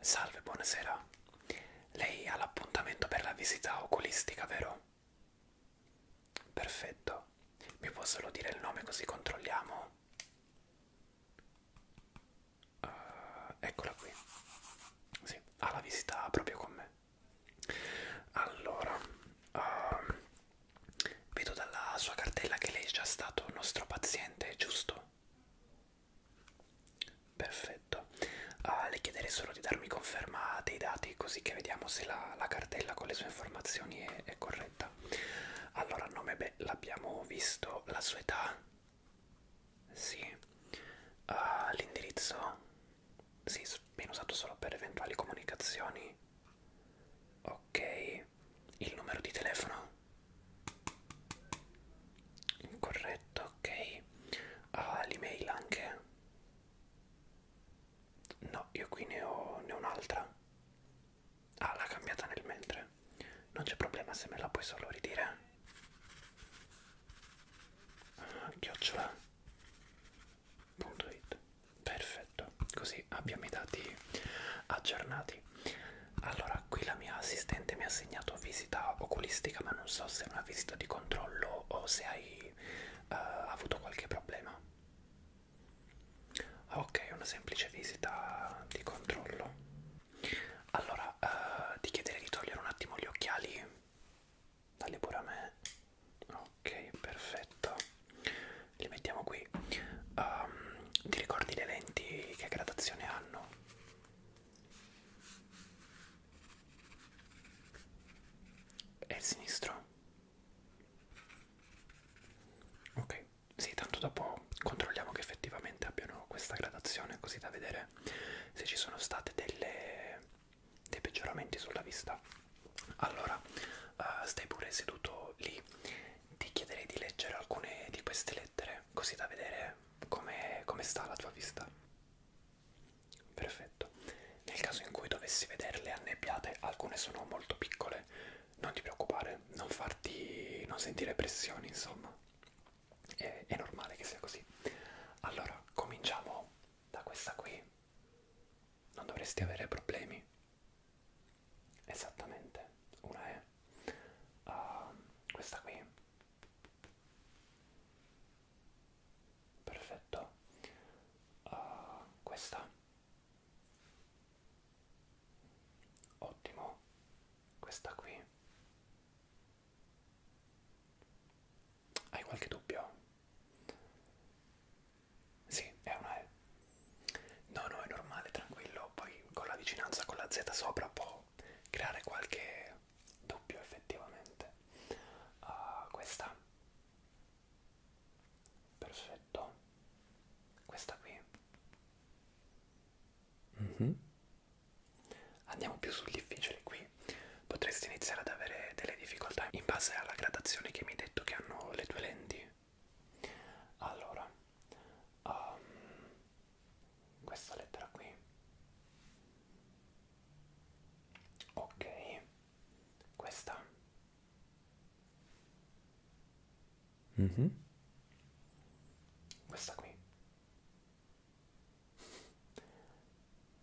Salve, buonasera. Lei ha l'appuntamento per la visita oculistica, vero? Perfetto. Mi può solo dire il nome così controlliamo? Uh, eccola qui. Sì, ha la visita proprio con me. Allora, uh, vedo dalla sua cartella che lei è già stato nostro paziente, giusto? Perfetto, ah, le chiederei solo di darmi conferma dei dati così che vediamo se la, la cartella con le sue informazioni è, è corretta. Allora, nome, beh, l'abbiamo visto, la sua età? Sì. Uh, L'indirizzo? Sì, viene usato solo per eventuali comunicazioni. Ok il numero di telefono incorretto ok ah, l'email anche no io qui ne ho, ne ho un'altra ah l'ha cambiata nel mentre non c'è problema se me la puoi solo ridire ah, chiocciola.it perfetto così abbiamo i dati aggiornati ok allora qui la mia assistente mi ha assegnato visita oculistica ma non so se è una visita di controllo o se hai uh, avuto qualche problema ok una semplice visita di controllo allora uh, eh, ti chiederei di togliere un attimo gli occhiali Dagli pure a me ok perfetto li mettiamo qui um, ti ricordi le lenti che gradazione hanno? È il sinistro? Ok, sì, tanto dopo controlliamo che effettivamente abbiano questa gradazione così da vedere se ci sono state delle, dei peggioramenti sulla vista. Allora, uh, stai pure seduto lì ti chiederei di leggere alcune di queste lettere, così da vedere come com sta la tua vista. Perfetto. Nel caso in cui dovessi vederle annebbiate, alcune sono molto piccole, non ti preoccupare, non farti... non sentire pressioni, insomma. È, è normale che sia così. Allora, cominciamo da questa qui. Non dovresti avere problemi esattamente una è uh, ehm, questa qui perfetto uh, questa ottimo questa qui hai qualche dubbio? Sì, è una E. No, no, è normale, tranquillo. Poi con la vicinanza con la Z sopra può creare qualche dubbio effettivamente. Uh, questa. Perfetto. Questa qui. Mm -hmm. Andiamo più sul difficile qui. Potresti iniziare ad avere delle difficoltà in base alla gradazione che mi hai detto che hanno le tue lenti. Allora, um, questa lettera qui. Ok, questa. Mm -hmm. Questa qui.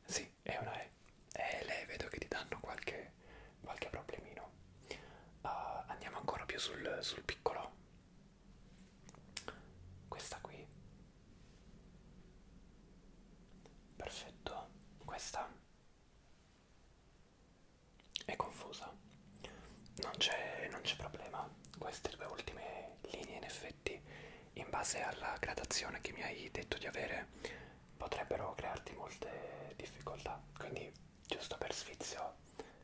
Sì, è una E. E le vedo che ti danno qualche qualche problemino. Uh, andiamo ancora più sul, sul piccolo. Questa qui. Perfetto. Questa è confusa. Non c'è problema. Queste due ultime linee in effetti, in base alla gradazione che mi hai detto di avere, potrebbero crearti molte difficoltà. Quindi giusto per sfizio,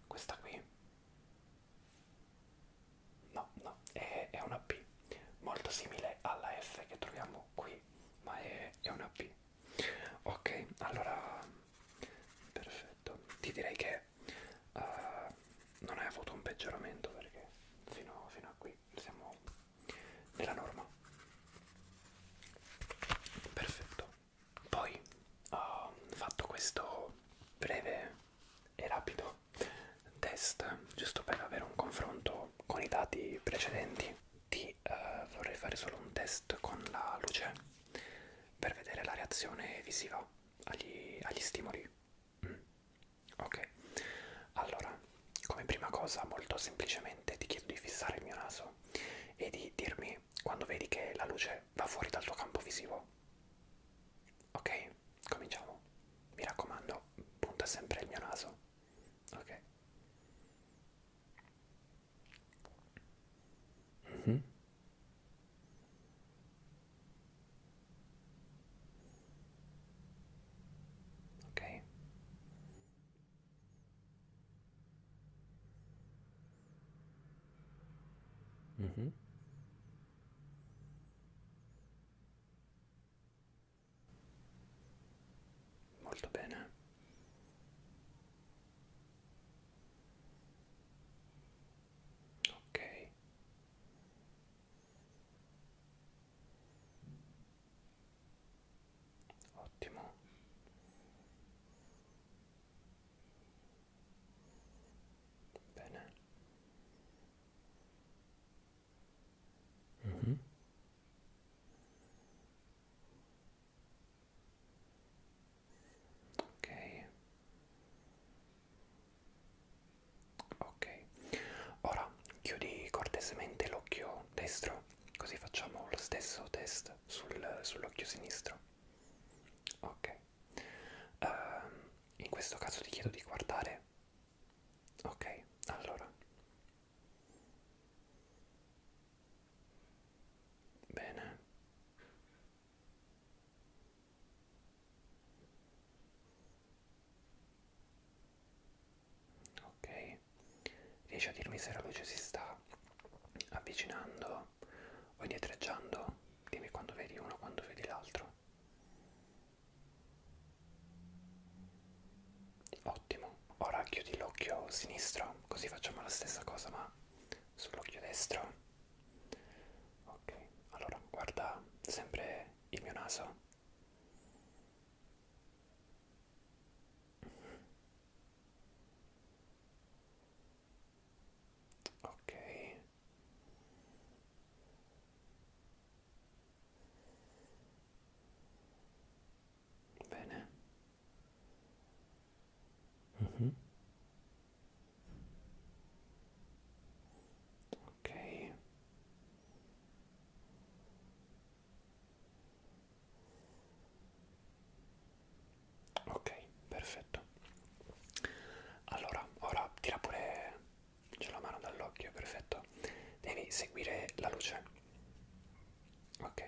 questa qui. No, no, è, è una P, molto simile alla F che troviamo qui, ma è, è una P. Ok, allora, perfetto. Ti direi che uh, non hai avuto un peggioramento perché fino, fino a qui siamo nella norma. Perfetto. Poi ho fatto questo breve e rapido test, giusto per avere un confronto con i dati precedenti. Ti eh, vorrei fare solo un test con la luce per vedere la reazione visiva agli, agli stimoli. Mm. Ok, allora, come prima cosa molto semplicemente ti chiedo di fissare il mio naso e di dirmi occhi quando vedi che la luce va fuori dal tuo campo visivo. Ok? Cominciamo. Mi raccomando, punta sempre il mio naso. Ok? Mm -hmm. Ok? Mh-mh. Molto bene. Okay ottimo bene mm -hmm. ok ok ora chiudi cortesemente l'occhio destro così facciamo lo stesso test sul, sull'occhio sinistro ok uh, in questo caso ti chiedo di guardare ok allora bene ok Riesci a dirmi se la luce si sta avvicinando o indietreggiando? Dimmi quando vedi uno, quando vedi l'altro. Ottimo, ora chiudi l'occhio sinistro, così facciamo la stessa cosa ma sull'occhio destro. Ok, allora guarda sempre il mio naso. Okay. Bene. Uh, mhm. Okay. Ok, perfetto. Allora, ora tira pure c'è la mano dall'occhio, perfetto. Devi seguire la luce. Ok.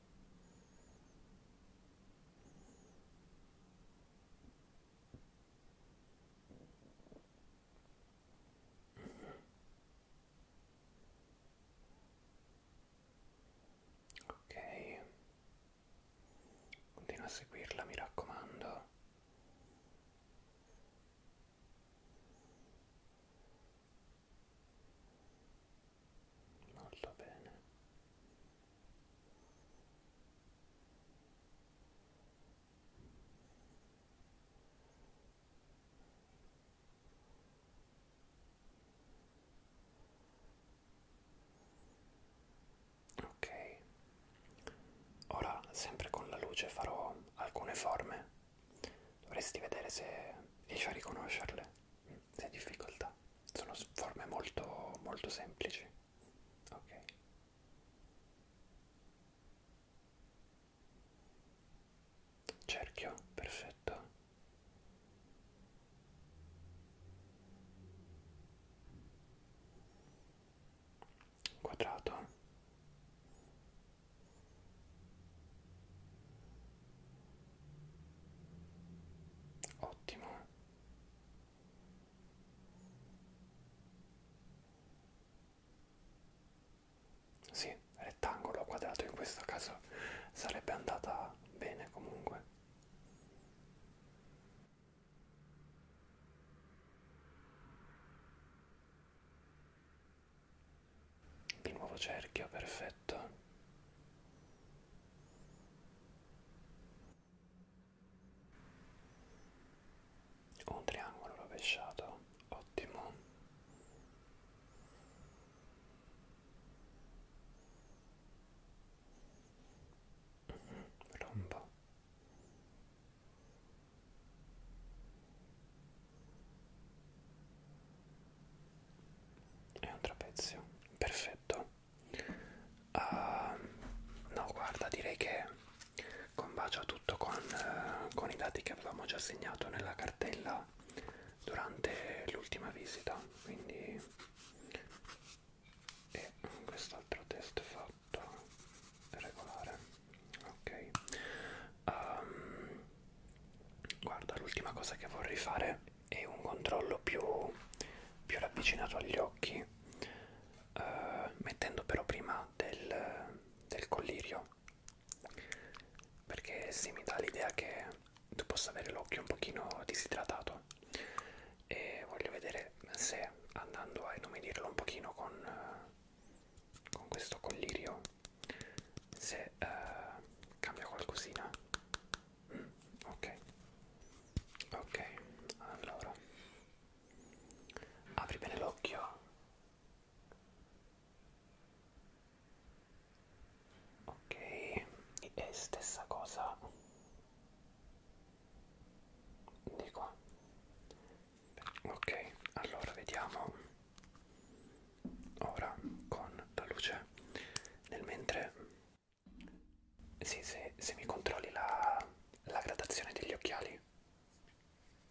Ok, continua a seguirla, mi raccomando molto bene ok ora sempre con la luce farò alcune forme dovresti vedere se riesci a riconoscerle se hai difficoltà sono forme molto, molto semplici. Ok. Cerchio, perfetto. Quadrato. Ottimo. Sì, rettangolo o quadrato in questo caso sarebbe andata bene comunque di nuovo cerchio perfetto un triangolo rovesciato ottimo mm, mm-hmm, rombo è un trapezio perfetto uh, no guarda direi che combacia tutto con, uh, con i dati che avevamo già segnato nella cartella durante l'ultima visita quindi e quest'altro test fatto regolare ok um, guarda l'ultima cosa che vorrei fare è un controllo più, più ravvicinato agli occhi eh, mettendo però prima del, del collirio perché si sì, mi dà l'idea che tu possa avere l'occhio un pochino disidratato e voglio vedere se andando a inumidirlo un pochino con, eh, con questo collirio se eh, cambia qualcosina mm, ok ok allora apri bene l'occhio ok e stessa cosa di qua ok allora vediamo ora con la luce nel mentre sì, se, se mi controlli la, la gradazione degli occhiali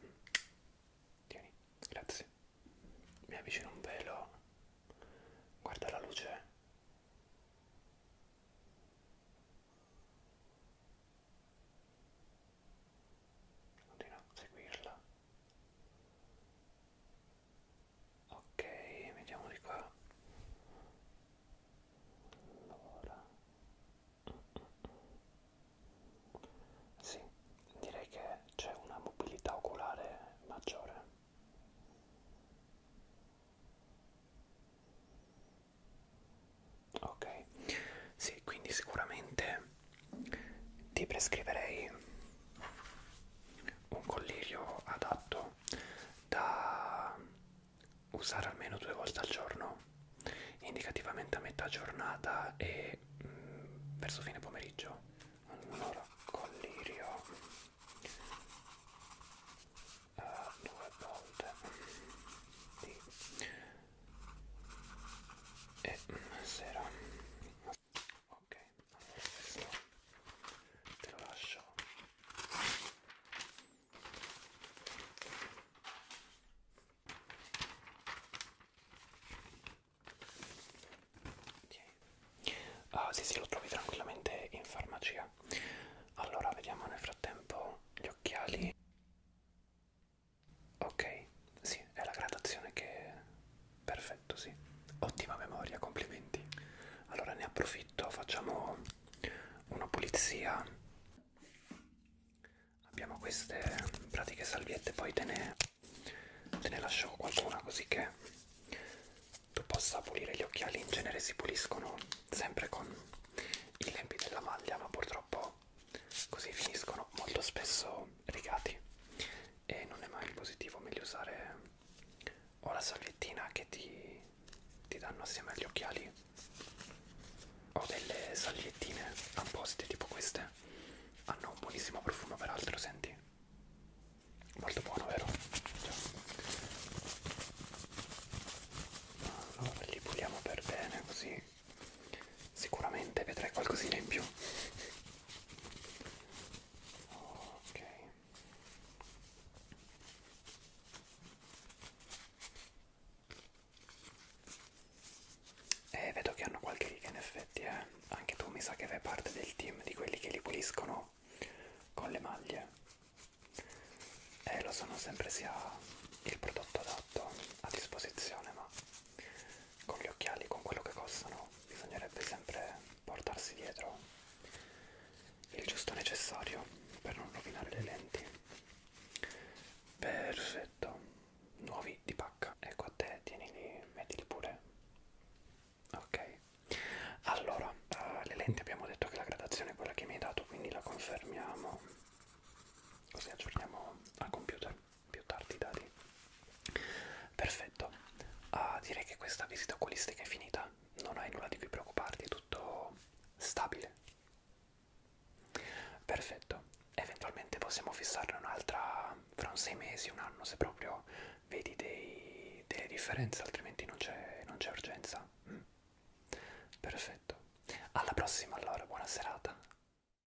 mm. tieni grazie mi avvicino un pelo guarda la luce continua a seguirla ok vediamo di qua allora sì direi che c'è una mobilità oculare maggiore ok sì quindi sicuramente ti prescriverei un collirio adatto da usare almeno due volte al giorno, indicativamente a metà giornata e mh, mm, verso fine pomeriggio. Allora, collirio a eh, due volte di e mm, sera a ok allora questo te lo lascio okay. ah sì sì lo trovi tranquillamente in farmacia allora vediamo nel frattempo gli occhiali ok sì, è la gradazione che... perfetto, sì. Ottima memoria, complimenti. Allora ne approfitto, facciamo una pulizia. Abbiamo queste pratiche salviette, poi te ne, te ne lascio qualcuna così che tu possa pulire gli occhiali. In genere si puliscono sempre con i lempi della maglia, ma purtroppo così finiscono molto spesso rigati e non è mai positivo, meglio usare o la salviettina che ti, ti danno assieme agli occhiali o delle salviettine apposte tipo queste hanno un buonissimo profumo peraltro, senti? Molto buono, vero? Allora ah, li puliamo per bene così sicuramente vedrai qualcosina in più ok e eh, vedo che hanno qualche riga in effetti eh. anche tu mi sa che fai parte del team di quelli che li puliscono con le maglie e eh, lo so non sempre sia il prodotto adatto a disposizione ma con gli occhiali, con quello che costano, bisognerebbe sempre portarsi dietro il giusto necessario per non rovinare le lenti. Perfetto, nuovi di pacca. Ecco a te, tienili, mettili pure. Ok, allora uh, le lenti abbiamo detto che la gradazione è quella che mi hai dato, quindi la confermiamo. Così aggiorniamo al computer più tardi i dati. Perfetto, ah, direi che questa visita oculistica è finita, non hai nulla di cui preoccuparti, è tutto stabile. Perfetto, eventualmente possiamo fissarne un'altra fra un sei mesi, un anno, se proprio vedi dei, delle differenze, altrimenti non c'è urgenza. Mm. Perfetto, alla prossima allora, buona serata.